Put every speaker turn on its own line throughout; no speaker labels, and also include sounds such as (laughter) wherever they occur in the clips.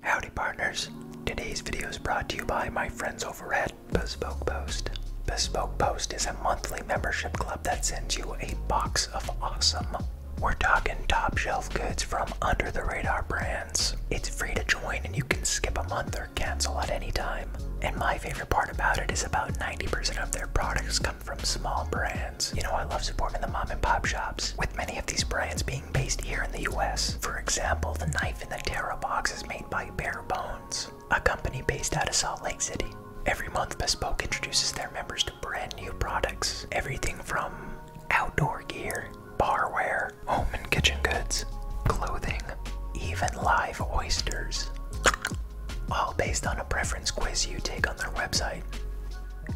Howdy partners! Today's video is brought to you by my friends over at Bespoke Post. Bespoke Post is a monthly membership club that sends you a box of awesome. We're talking top shelf goods from under the radar brands. It's free to join and you can skip a month or cancel at any time. And my favorite part about it is about 90% of their products come from small brands. You know, I love supporting the mom and pop shops, with many of these brands being based here in the US. For example, the knife in the Terra box is made by Bare Bones, a company based out of Salt Lake City. Every month, Bespoke introduces their members to brand new products. Everything from outdoor gear, barware, home and kitchen goods, clothing, even live oysters. All based on a preference quiz you take on their website.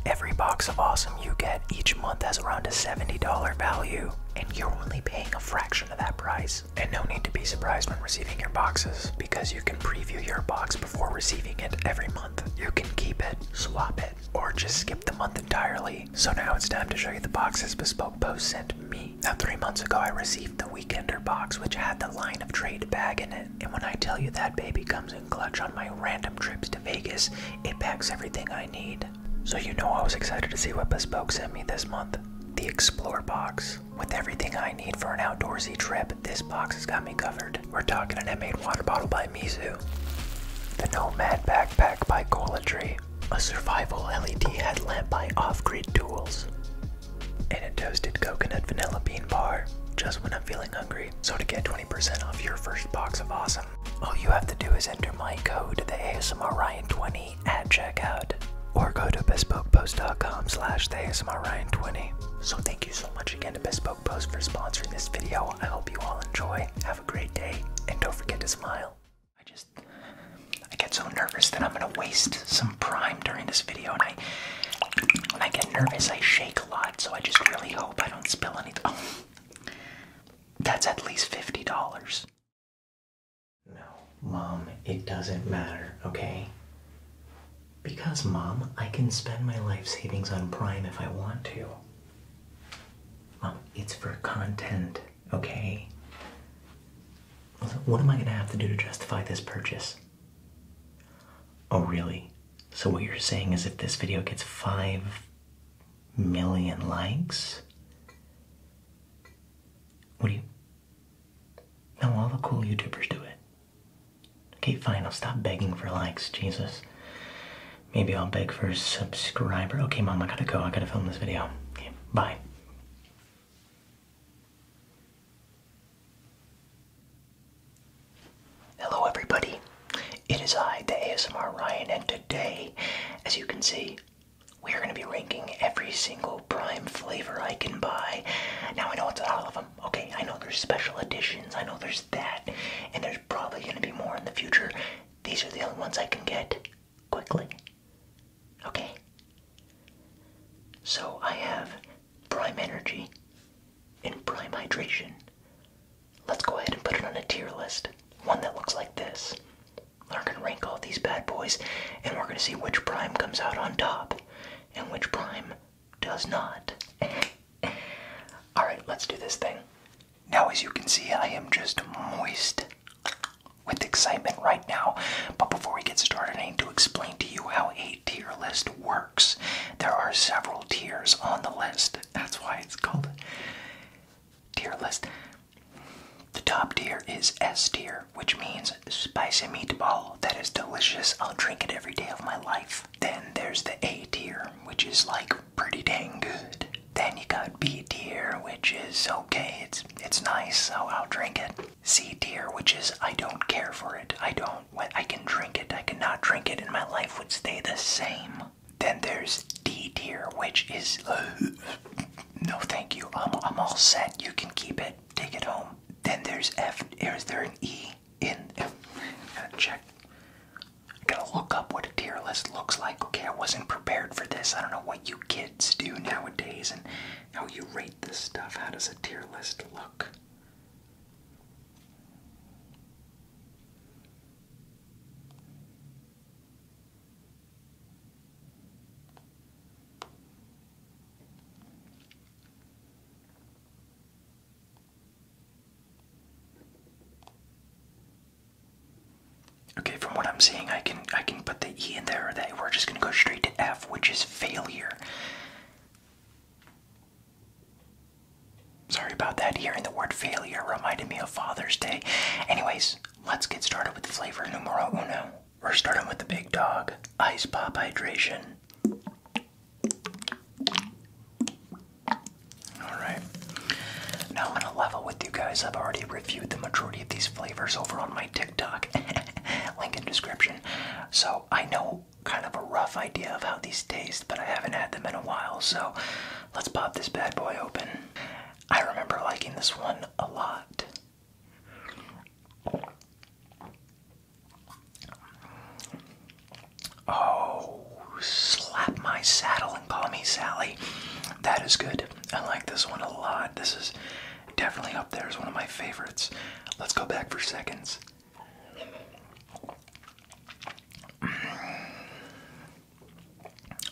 Every box of awesome you get each month has around a $70 value, and you're only paying a fraction of that price. And no need to be surprised when receiving your boxes, because you can preview your box before receiving it every month. You can keep it, swap it, or just skip the month entirely. So now it's time to show you the boxes Bespoke Post sent me. Now, three months ago, I received the Weekender box, which had the line of trade bag in it. And when I tell you that baby comes in clutch on my random trips to Vegas, it packs everything I need. So, you know, I was excited to see what Bespoke sent me this month the Explore box. With everything I need for an outdoorsy trip, this box has got me covered. We're talking an handmade water bottle by Mizu, the Nomad backpack by Cola Tree, a survival LED headlamp by Off Grid Tools, and a toasted coconut vanilla bean bar just when I'm feeling hungry. So, to get twenty. 20% off your first box of awesome. All you have to do is enter my code, the ASMRRyan20, at checkout, or go to bespokepostcom slash the ASMRRyan20. So thank you so much again to Bespoke Post for sponsoring this video. I hope you all enjoy. Have a great day, and don't forget to smile. I just, I get so nervous that I'm gonna waste some prime during this video, and I, when I get nervous, I shake a lot. So I just really hope I don't spill anything. Oh. That's at least $50. No, Mom, it doesn't matter, okay? Because, Mom, I can spend my life savings on Prime if I want to. Mom, it's for content, okay? What am I gonna have to do to justify this purchase? Oh, really? So, what you're saying is if this video gets five million likes. What do you? No, all the cool YouTubers do it. Okay, fine, I'll stop begging for likes, Jesus. Maybe I'll beg for a subscriber. Okay, Mom, I gotta go. I gotta film this video. Okay, bye. Hello, everybody. It is I, the ASMR Ryan, and today, as you can see, we're going to be ranking every single Prime flavor I can buy. Now, I know it's all of them. Okay, I know there's special editions, I know there's that, and there's probably going to be more in the future. These are the only ones I can get quickly. Okay. So I have Prime Energy and Prime Hydration. Let's go ahead and put it on a tier list. One that looks like this. We're going to rank all these bad boys, and we're going to see which prime comes out on top and which prime does not. (laughs) Alright, let's do this thing. Now, as you can see, I am just moist with excitement right now. But before we get started, I need to explain to you how a tier list works. There are several tiers on the list. That's why it's called tier list. The top tier is S tier, which means spicy meatball that is delicious. I'll drink it every day of my life. Then there's the A tier, which is like pretty dang good. Then you got B tier, which is okay, it's it's nice, so I'll drink it. C tier, which is I don't care for it. I don't I can drink it. I can not drink it and my life would stay the same. Then there's D tier, which is uh, no thank you. I'm, I'm all set. You can keep it. Take it home. Then there's F. Is there an E in? F? Gotta check. Gotta look up what a tier list looks like. Okay, I wasn't prepared for this. I don't know what you kids do nowadays and how you rate this stuff. How does a tier list look? Okay, from what I'm seeing, I can I can put the E in there. That we're just gonna go straight to F, which is failure. Sorry about that. Hearing the word failure reminded me of Father's Day. Anyways, let's get started with the flavor numero uno. We're starting with the big dog, Ice Pop Hydration. Alright. Now I'm gonna level with you guys. I've already reviewed the majority of these flavors over on my TikTok. (laughs) Link in description. So I know kind of rough idea of how these taste, but I haven't had them in a while, so let's pop this bad boy open. I remember liking this one a lot. Oh, slap my saddle and call me Sally. That is good. I like this one a lot. This is definitely up there as one of my favorites. Let's go back for seconds.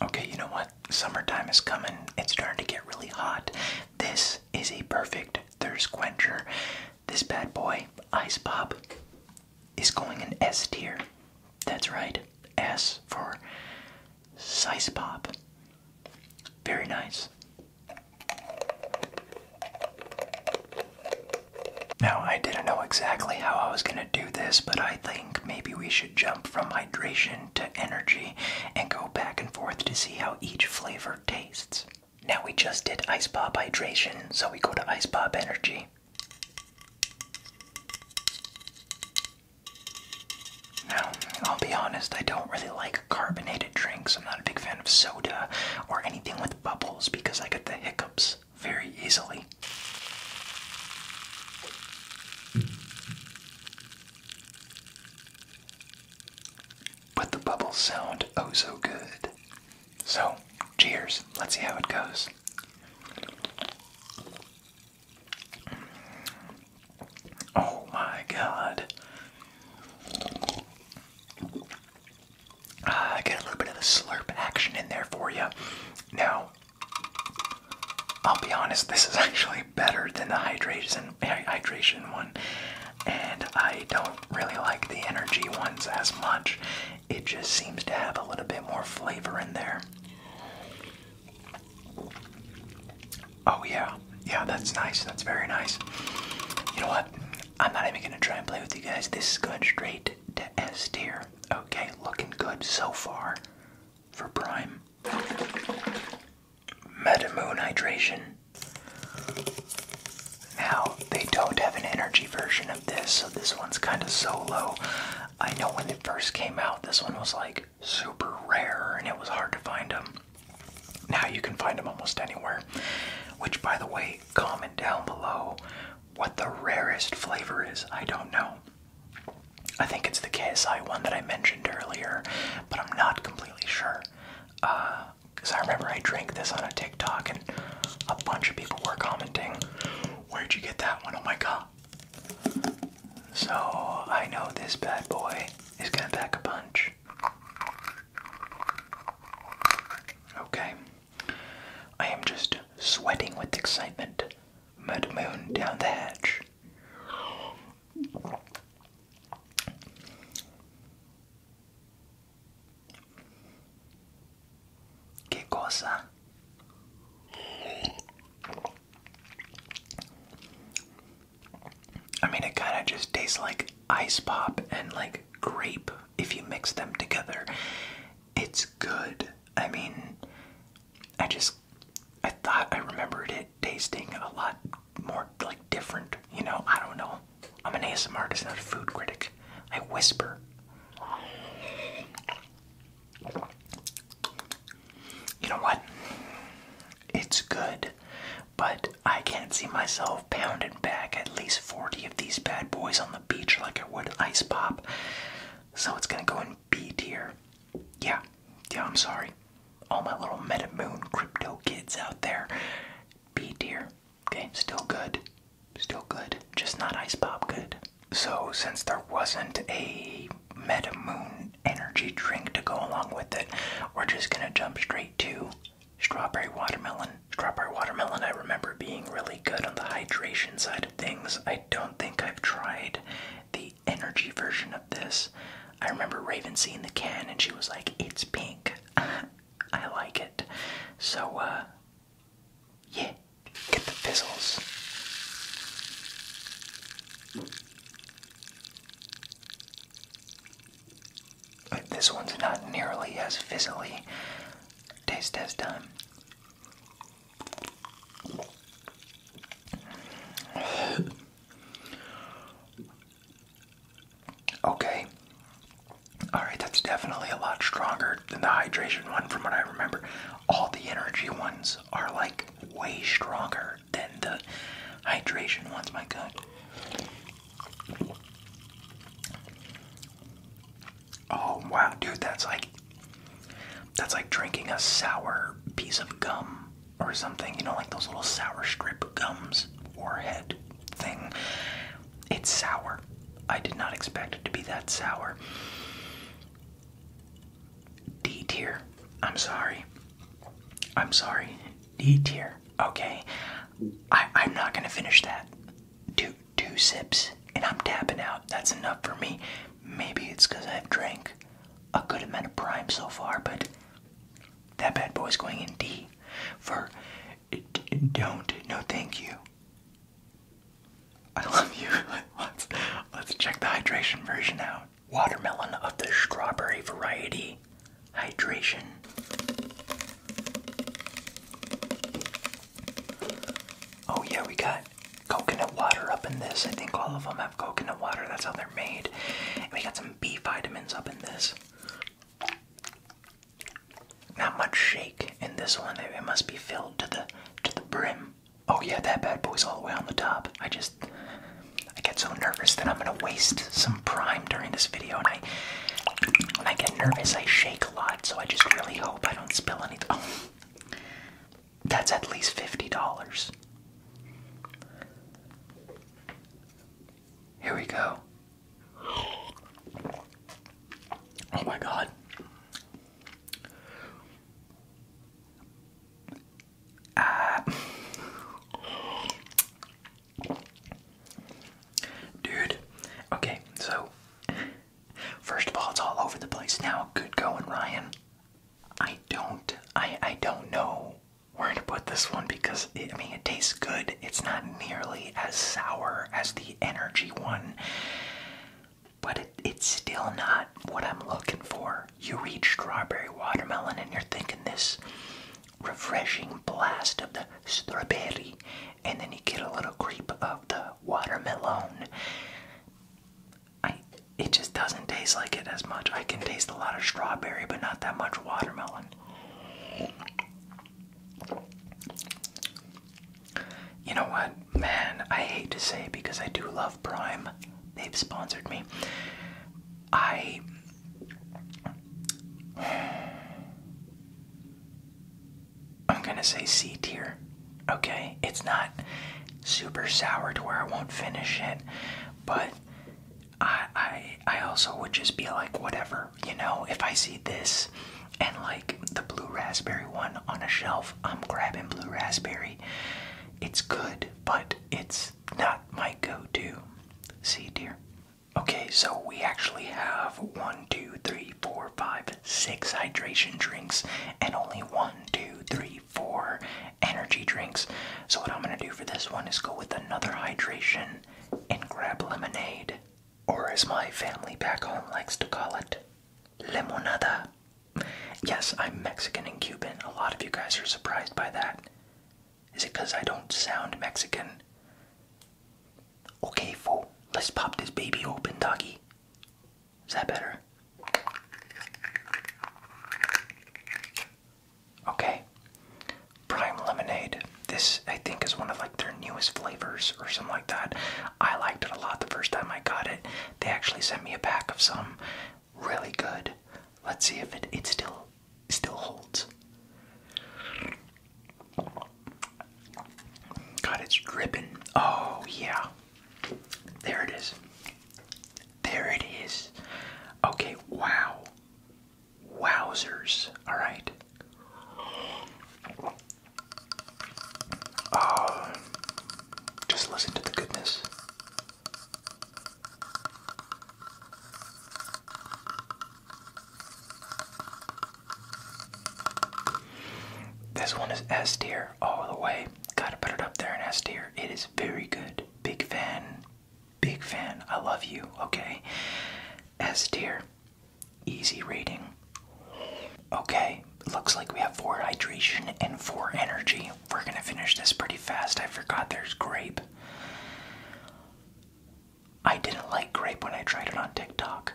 Okay, you know what? Summertime is coming. It's starting to get really hot. This is a perfect thirst quencher. This bad boy, Ice Pop, is going in S tier. That's right, S for Size Pop. Very nice. Now, I didn't know exactly how I was going to do this, but I think maybe we should jump from hydration to energy and go back and forth to see how each flavor tastes. Now, we just did Ice Pop hydration, so we go to Ice Pop energy. Now, I'll be honest, I don't really like carbonated drinks. I'm not a big fan of soda or anything with bubbles because I get the hiccups very easily. But the bubbles sound oh so good. So, cheers. Let's see how it goes. Oh my god. Uh, get a little bit of the slurp action in there for you. Now, I'll be honest, this is (laughs) actually better than the hydration, hydration one, and I don't really like the energy ones as much. It just seems to have a little bit more flavor in there. Oh, yeah, yeah, that's nice. That's very nice. You know what? I'm not even gonna try and play with you guys. This is going straight to S tier. Okay, looking good so far for Prime. Metamoon Hydration. Now, they don't have an energy version of this, so this one's kind of solo. I know when it first came out, this one was like super rare and it was hard to find them. Now you can find them almost anywhere. Which, by the way, comment down below what the rarest flavor is, I don't know. I think it's the KSI one that I mentioned earlier, but I'm not completely sure. Because uh, I remember I drank this on a TikTok and a bunch of people were commenting, Where'd you get that one? Oh my god. So I know this bad boy is gonna pack a punch. Okay. I am just sweating with excitement. Mud Moon down the hatch. Que cosa? I mean, it kind of just tastes like ice pop and like grape if you mix them together. It's good. I mean, I just I thought I remembered it tasting a lot more like different, you know, I don't know. I'm an ASMR artist, not a food critic. I whisper. You know what? It's good, but I can't see myself pounding back at least 40 of these bad boys on the beach like it would Ice Pop. So it's gonna go in B tier. Yeah, yeah, I'm sorry. All my little Meta Moon crypto kids out there. B tier. Okay, still good. Still good. Just not Ice Pop good. So since there wasn't a Meta Moon energy drink to go along with it, we're just gonna jump straight to Strawberry watermelon. Strawberry watermelon, I remember being really good on the hydration side of things. I don't think I've tried the energy version of this. I remember Raven seeing the can and she was like, it's pink. (laughs) I like it. So, uh, yeah, get the fizzles. this one's not nearly as fizzly Taste test done. okay. Alright, that's definitely a lot stronger than the hydration one from what I remember. All the energy ones are like way stronger than the hydration ones, my god. Oh wow, dude, that's like that's like drinking a sour piece of gum or something, you know, like those little sour strip gums or head thing. It's sour. I did not expect it to be that sour. D tier. I'm sorry. I'm sorry. D tier. Okay. I, I'm not gonna finish that two two sips and I'm tapping out. That's enough for me. Maybe it's because I've drank a good amount of prime so far, but that bad boy's going in D for don't. No, thank you. I love you. (laughs) let's let's check the hydration version out. Watermelon of the strawberry variety hydration. Oh, yeah, we got coconut water up in this. I think all of them have coconut water, that's how they're made. we got some B vitamins up in this. Not much shake in this one. It, it must be filled to the to the brim. Oh yeah, that bad boy's all the way on the top. I just I get so nervous that I'm gonna waste some prime during this video and I when I get nervous I shake a lot, so I just really hope I don't spill anything. Oh, that's at least fifty dollars. Here we go. Oh my god. Uh, Dude, okay, so first of all, it's all over the place now. Good going, Ryan. I don't, I, I don't know where to put this one because I mean it tastes good. It's not nearly as sour as the energy one, but it's still not what I'm looking for. You read strawberry watermelon and you're thinking this refreshing blast of the strawberry, and then you get a little creep of the watermelon. I it just doesn't taste like it as much. I can taste a lot of strawberry, but not that much watermelon. You know what, man? I hate to say because I do love Prime. They've sponsored me. I I'm gonna say C tier. Okay, it's not super sour to where I won't finish it, but I I I also would just be like whatever, you know, if I see this and like the blue raspberry one on a shelf, I'm grabbing blue raspberry. It's good, but it's not my go-to. C tier. Okay, so we actually have one, two, three, four, five, six hydration drinks, and only one, two, three, four energy drinks. So, what I'm gonna do for this one is go with another hydration and grab lemonade, or as my family back home likes to call it, limonada. Yes, I'm Mexican and Cuban. A lot of you guys are surprised by that. Is it because I don't sound Mexican? Okay, fool, let's pop this baby open, doggy. Is that better? Okay. Prime Lemonade. This, I think, is one of like their newest flavors or something like that. I liked it a lot the first time I got it. They actually sent me a pack of some. Really good. Let's see if it, it's still still holds. God, it's dripping. Oh, yeah. There it is. There it is. Okay, wow. Wowzers. All right. Um, just listen to the goodness. This one is S tier all the way. Gotta put it up there in S tier. It is very good. Big fan. Big fan. I love you. Okay. S tier. Easy rating. Okay. Looks like we have four hydration and four energy. We're gonna finish this pretty fast. I forgot there's grape. I didn't like grape when I tried it on TikTok.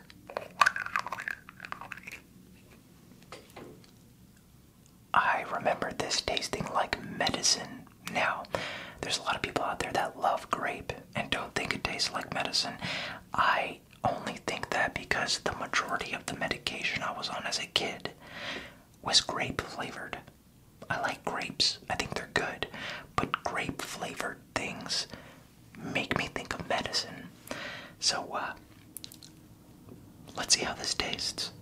I remember this tasting like medicine. Now, there's a lot of people out there that love grape and don't think it tastes like medicine. I only think that because the majority of the medication I was on as a kid was grape flavored. I like grapes, I think they're good, but grape flavored things make me think of medicine. So, uh, let's see how this tastes.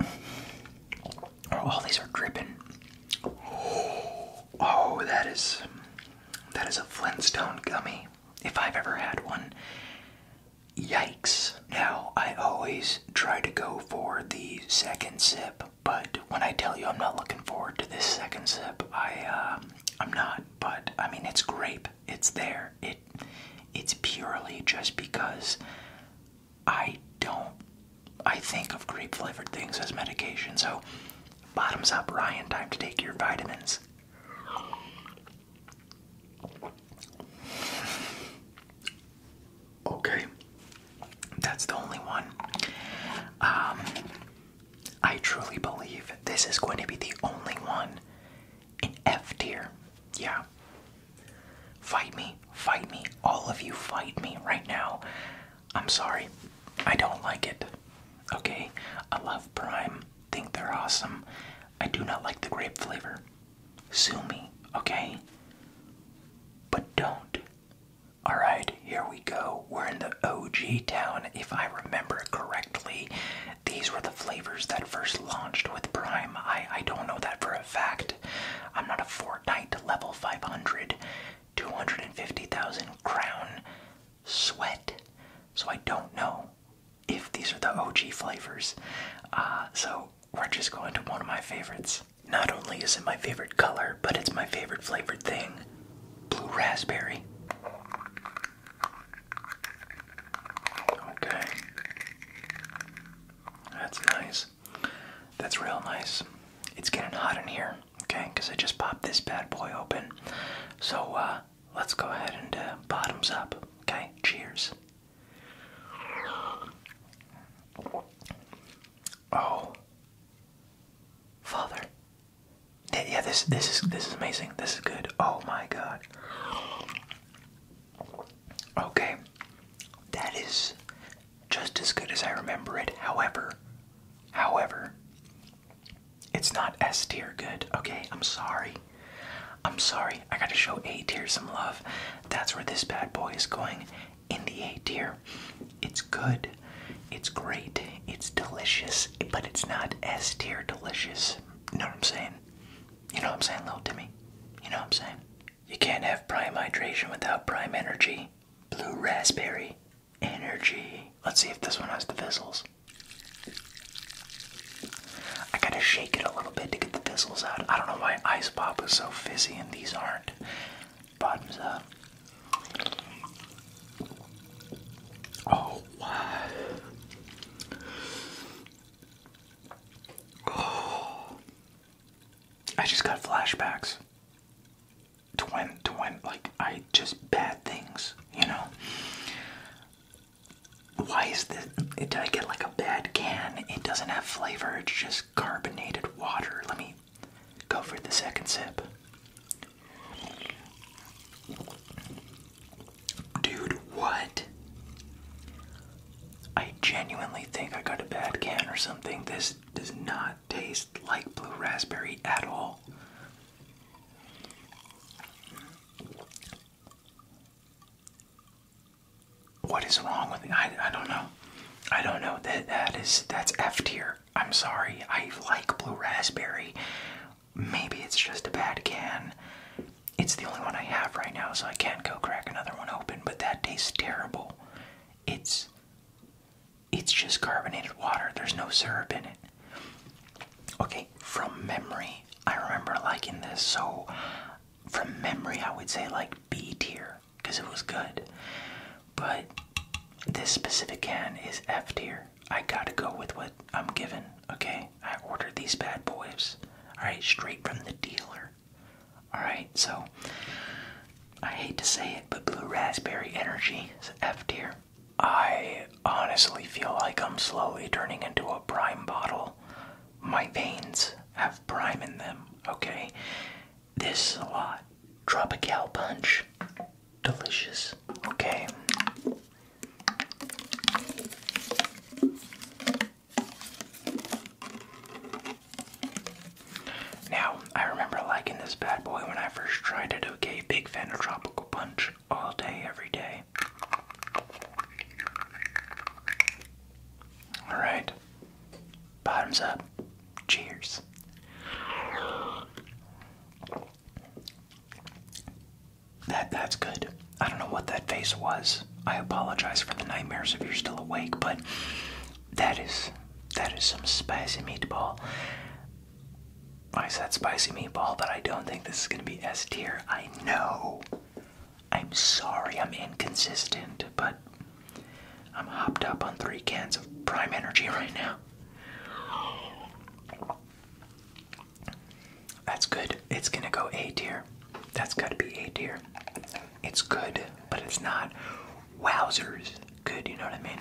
Oh, all these are dripping. (gasps) Oh, that is that is a Flintstone gummy, if I've ever had one. Yikes! Now I always try to go for the second sip but when I tell you I'm not looking forward to this second sip, I uh, I'm not. But I mean, it's grape. It's there. It it's purely just because I don't. I think of grape flavored things as medication. So bottoms up, Ryan. Time to take your vitamins. Okay, that's the only one. Um, I truly believe this is going to be the only one in F tier. Yeah. Fight me, fight me, all of you fight me right now. I'm sorry, I don't like it. Okay, I love Prime, think they're awesome. I do not like the grape flavor. Sue me, okay? But don't Alright, here we go. We're in the OG town, if I remember correctly. These were the flavors that first launched with Prime. I, I don't know that for a fact. I'm not a Fortnite level 500, 250,000 crown sweat, so I don't know if these are the OG flavors. Uh, so we're just going to one of my favorites. Not only is it my favorite color, but it's my favorite flavored thing blue raspberry. Okay. That's nice. That's real nice. It's getting hot in here, okay? Because I just popped this bad boy open. So, uh, let's go ahead and uh, bottoms up, okay? Cheers. Oh, Father. Yeah, this this is this is amazing. This is good. Oh my God. Okay, that is just as good as I remember it. However, however, it's not S tier good. Okay, I'm sorry. I'm sorry. I gotta show A tier some love. That's where this bad boy is going in the A tier. It's good, it's great, it's delicious, but it's not S tier delicious. You know what I'm saying? You know what I'm saying, little Timmy? You know what I'm saying? You can't have prime hydration without prime energy. Blue raspberry energy. Let's see if this one has the fizzles. I gotta shake it a little bit to get the fizzles out. I don't know why ice pop is so fizzy and these aren't. Bottoms up. Oh, Oh. I just got flashbacks Twin, twin, like, I just bad things, you know? Why is this? Did I get like a bad can? It doesn't have flavor, it's just carbonated water. Let me go for the second sip. Dude, what? I genuinely think I got a bad can or something. This does not taste like blue raspberry at all. What is wrong with me? I, I don't know. I don't know. That that is that's F tier. I'm sorry. I like blue raspberry. Maybe it's just a bad can. It's the only one I have right now, so I can't go crack another one open, but that tastes terrible. It's it's just carbonated water. There's no syrup in it. Okay, from memory, I remember liking this, so from memory I would say like B tier because it was good. But this specific can is F tier. I gotta go with what I'm given, okay? I ordered these bad boys, alright, straight from the dealer. Alright, so I hate to say it, but Blue Raspberry Energy is F tier. I honestly feel like I'm slowly turning into a prime bottle. My veins have prime in them, okay? This is a lot. Tropical punch. Delicious, okay? Now, I remember liking this bad boy when I first tried it, okay? Big fan of Tropical Punch all day, every day. Alright. Bottoms up. Cheers. That that's good. I don't know what that face was. I apologize for the nightmares if you're still awake, but that is that is some spicy meatball. I said spicy meatball, but I don't think this is gonna be S tier. I know. I'm sorry I'm inconsistent, but I'm hopped up on three cans of prime energy right now. That's good. It's gonna go A tier. That's gotta be A tier. It's good, but it's not wowzers good, you know what I mean?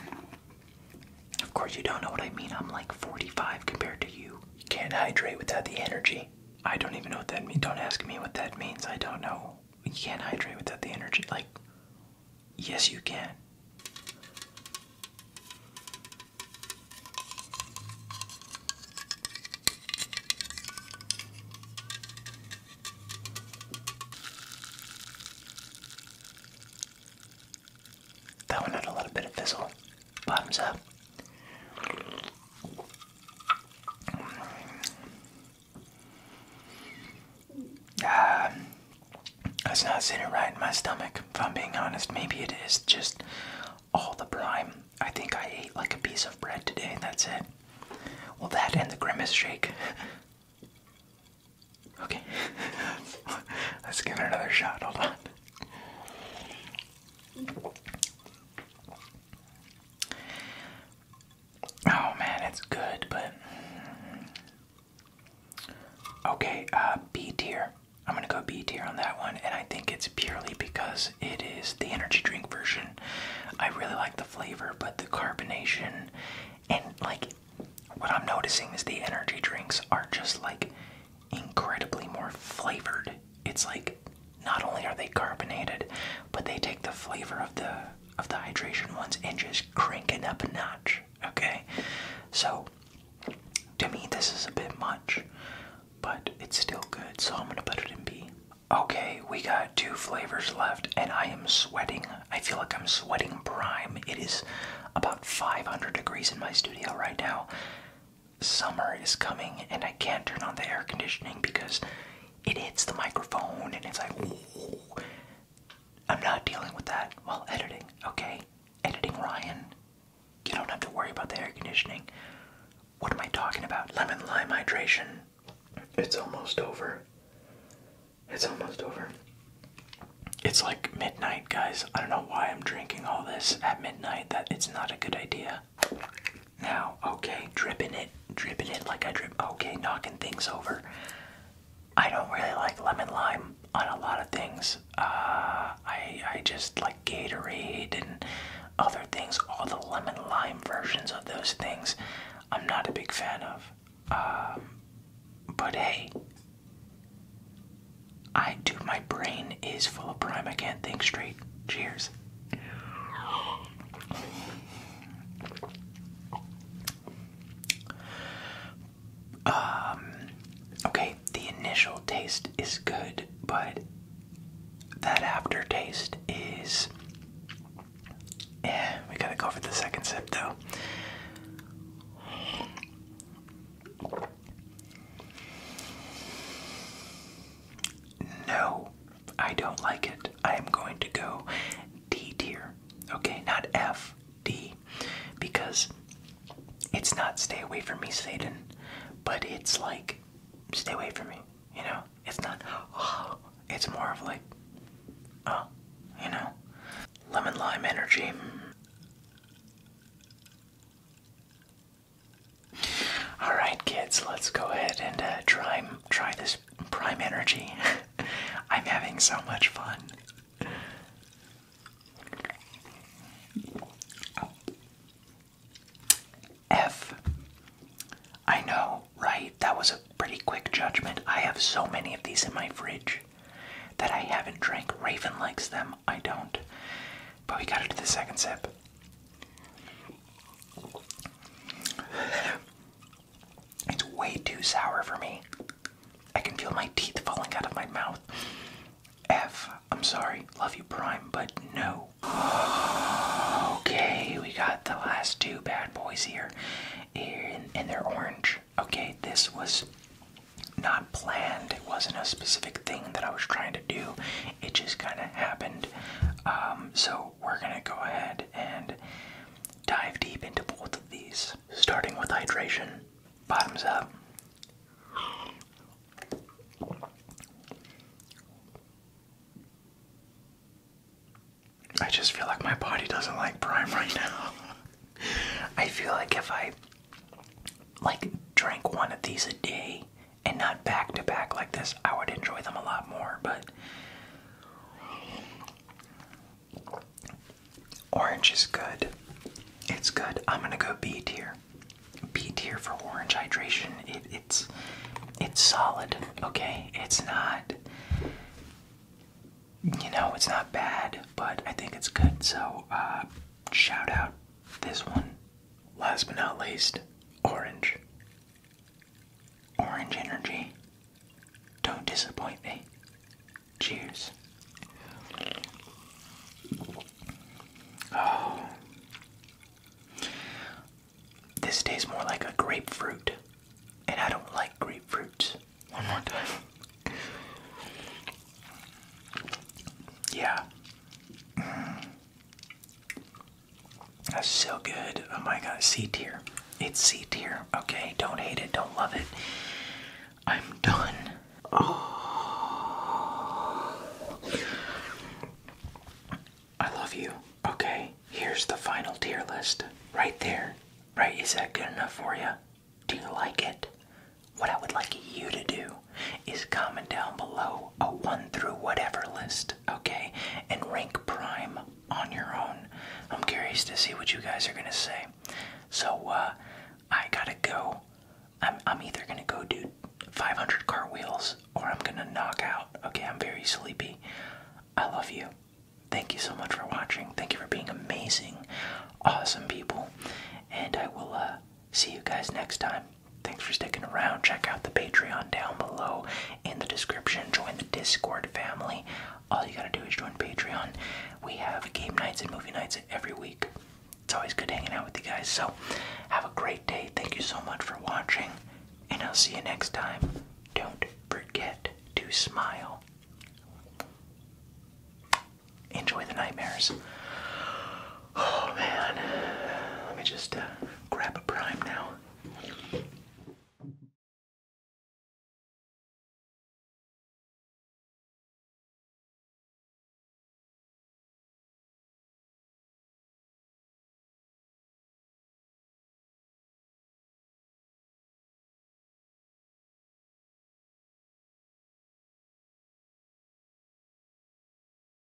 Of course, you don't know what I mean. I'm like 45 compared to you. Can't hydrate without the energy. I don't even know what that means. Don't ask me what that means. I don't know you can't hydrate without the energy. Like, yes, you can. That one had a little bit of fizzle. Bottoms up. Uh, it's not sitting right in my stomach, if I'm being honest. Maybe it is just all the prime. I think I ate like a piece of bread today, that's it. Well, that and the Grimace Shake. okay. (laughs) Let's give it another shot. Hold on. Oh man, it's good, but okay, uh, B tier. I'm gonna go B tier on that one, and I think it's purely because it is the energy drink version. I really like the flavor, but the carbonation and like what I'm noticing is the energy drinks are just like incredibly more flavored. It's like not only are they carbonated, but they take the flavor of the of the hydration ones and just crank it up a notch. Okay, so to me this is a bit much, but it's still good. So I'm gonna put it in B. Okay, we got two flavors left, and I am sweating. I feel like I'm sweating prime. It is about 500 degrees in my studio right now. Summer is coming, and I can't turn on the air conditioning because it hits the microphone and it's like, Ooh. I'm not dealing with that while editing, okay? Editing Ryan, you don't have to worry about the air conditioning. What am I talking about? Lemon lime hydration. It's almost over. It's almost over. It's like midnight, guys. I don't know why I'm drinking all this at midnight. That it's not a good idea. Now, okay, dripping it, dripping it like I drip. Okay, knocking things over. I don't really like lemon lime on a lot of things. Uh, I I just like Gatorade and other things. All the lemon lime versions of those things, I'm not a big fan of. Um, but hey, I do. My brain is full of prime. I can't think straight. Cheers. Um, okay, the initial taste is good, but that aftertaste is. Yeah, we gotta go for the second sip though. No, I don't like it. I am going to go D tier. Okay, not F, D. Because it's not stay away from me, Satan, but it's like stay away from me, you know? It's not, oh, (gasps) it's more of like, oh, you know? Lemon lime energy. All right, kids, let's go ahead and uh, try try this prime energy. (laughs) I'm having so much fun. F. I know, right? That was a pretty quick judgment. I have so many of these in my fridge that I haven't drank. Raven likes them. I don't. But we got to do the second sip. It's way too sour for me. I can feel my teeth falling out of my mouth. F, I'm sorry, love you, Prime, but no. (gasps) Okay, we got the last two bad boys here, and, they're orange. Okay, this was not planned. It wasn't a specific thing that I was trying to do. It just kind of happened. Um, so we're going to go ahead and dive deep into both of these, starting with hydration. Bottoms up. I just feel like my body doesn't like prime right now. (laughs) I feel like if I like drank one of these a day, and not back to back like this, I would enjoy them a lot more. But orange is good. It's good. I'm gonna go B tier. B tier for orange hydration. it's it's solid. Okay, it's not. You know, it's not bad, but I think it's good. So, uh, shout out this one. Last but not least, orange. Orange energy. Don't disappoint me. Cheers. Oh. This tastes more like a grapefruit, and I don't like grapefruits. One more time. (laughs) Yeah. Mm. That's so good. Oh my god, C tier. It's C tier. Okay, don't hate it, don't love it. I'm done. Oh. I love you. Okay, here's the final tier list. Right there. Right, is that good enough for you? Do you like it? What I would like you to do is comment down below a one through whatever list okay? And rank Prime on your own. I'm curious to see what you guys are gonna say. So, uh, I gotta go. I'm, I'm either gonna go do 500 cartwheels or I'm gonna knock out. Okay, I'm very sleepy. I love you. Thank you so much for watching. Thank you for being amazing, awesome people. And I will uh, see you guys next time. Thanks for sticking around. Check out the Patreon down below in the description. Join the Discord family. All you gotta do is join Patreon. We have game nights and movie nights every week. It's always good hanging out with you guys. So, have a great day. Thank you so much for watching, and I'll see you next time. Don't forget to smile. Enjoy the nightmares. Oh man, let me just uh, grab a prime now.